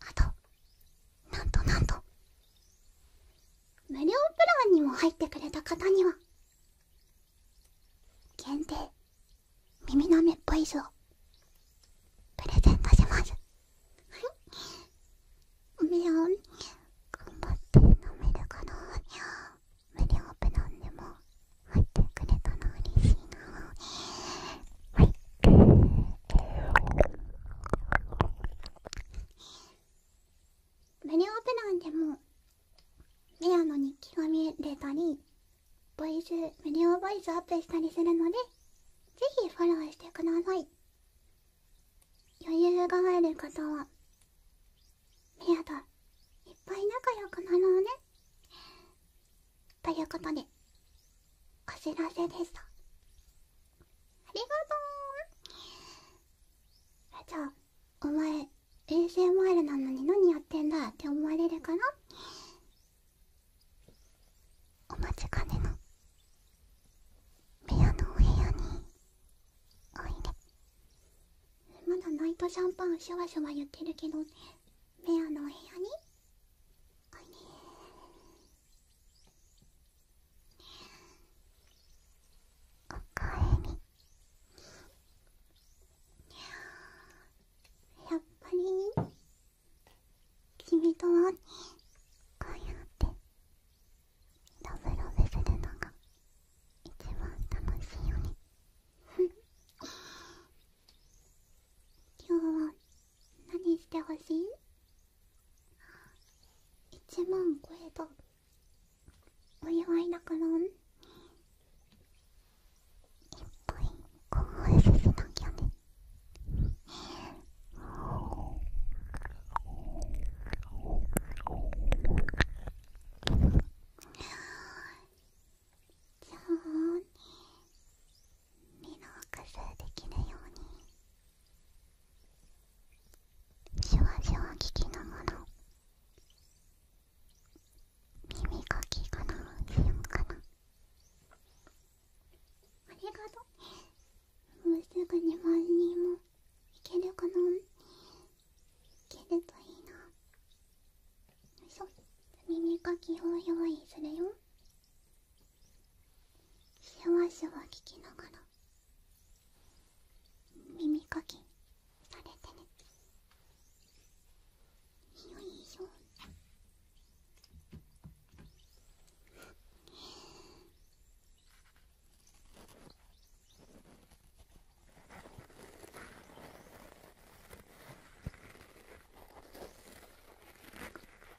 あとなんとなんと無料プランにも入ってくれた方には限定耳なめボイスをプレゼントしますはいお目を頑張って飲めるかな無料プランでも入ってくれたの嬉しいなはい無料プランでもレアの日記が見れたりボイス無料ボイスアップしたりするのでぜひフォローしてください余裕がある方はメアといっぱい仲良くなろうねということでお知らせでしたありがとうじゃあお前衛星 s m ルなのに何やってんだって思われるからお待ちかねの部屋のお部屋においでまだナイトシャンパンシュワシュワ言ってるけど部屋のお部屋においでおかえやっぱり君とはこうやってラブラブするのが一番楽しいよね今日は何してほしい ?1 万超えたお祝いだからんいっぱい興奮させなきゃねじゃあね…身の数できるようにシュワシュワ聞きなもの…耳かきかなしよかなありがとうもうすぐに万人もいけるかないけるといいなよいしょ耳かきを用意するよシュワシュワ聞きながら耳かきされてねよいしょあ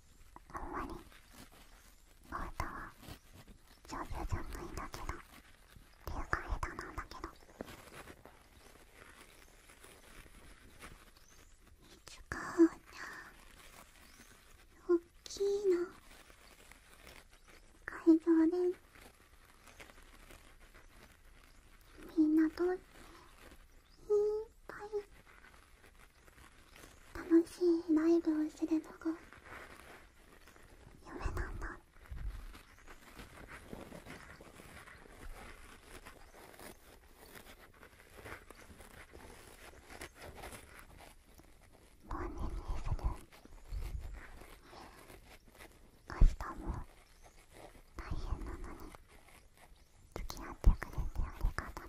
あんまり、ボートは上手じゃないんだけどっていうか下手なんだけどいつか、おっきいな会場でみんなといっぱい楽しいライブをするのが夢なんだ本年にする明日も大変なのに付き合ってくれてありがとね。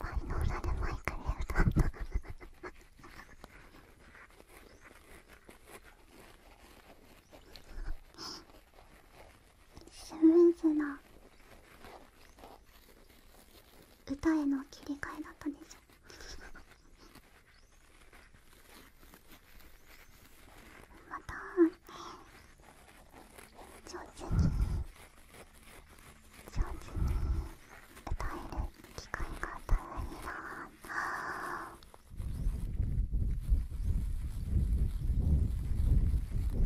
万能裏でマイクで歌ったスムーズな歌への切り替えだったでしょまた上手に上手に歌える機会があったらいいなぁ。そ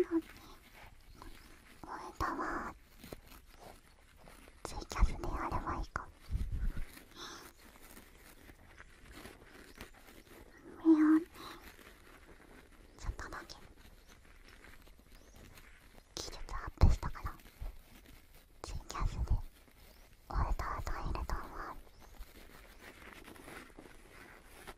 うだね応えたわツイキャスでやればいいか目をねちょっとだけ技術アップしたからツイキャスで応えたわと入ると思う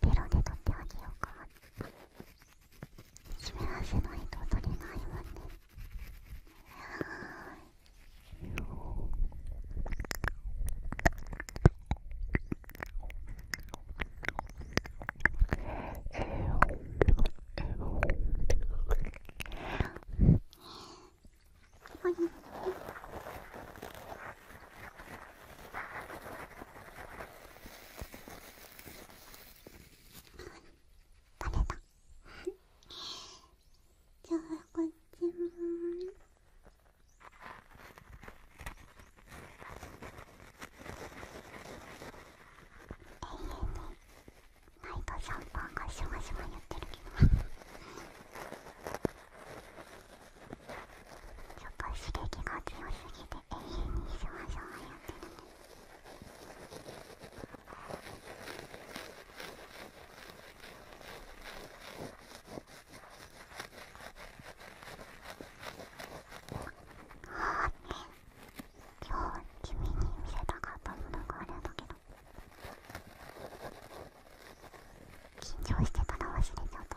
ベロで取ってあげようか湿らせないと取れないわねバレじゃあこっちも永遠に毎度シャンパンがシュシュやってるけどちょっと刺激が強すぎて永遠にじわそわやってるね。ああね今日君に見せたかったものがあるんだけど緊張してたら忘れちゃった。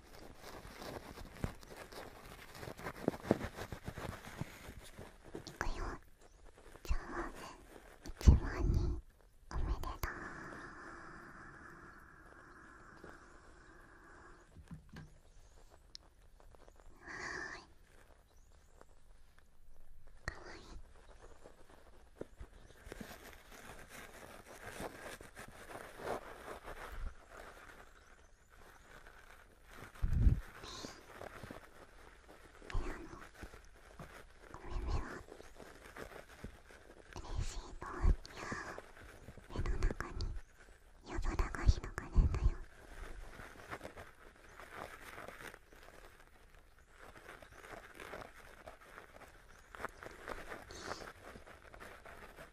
くよじゃあ一番におめでとうはいかわいい嬉しいと目の中に夜空が広がるんだよ「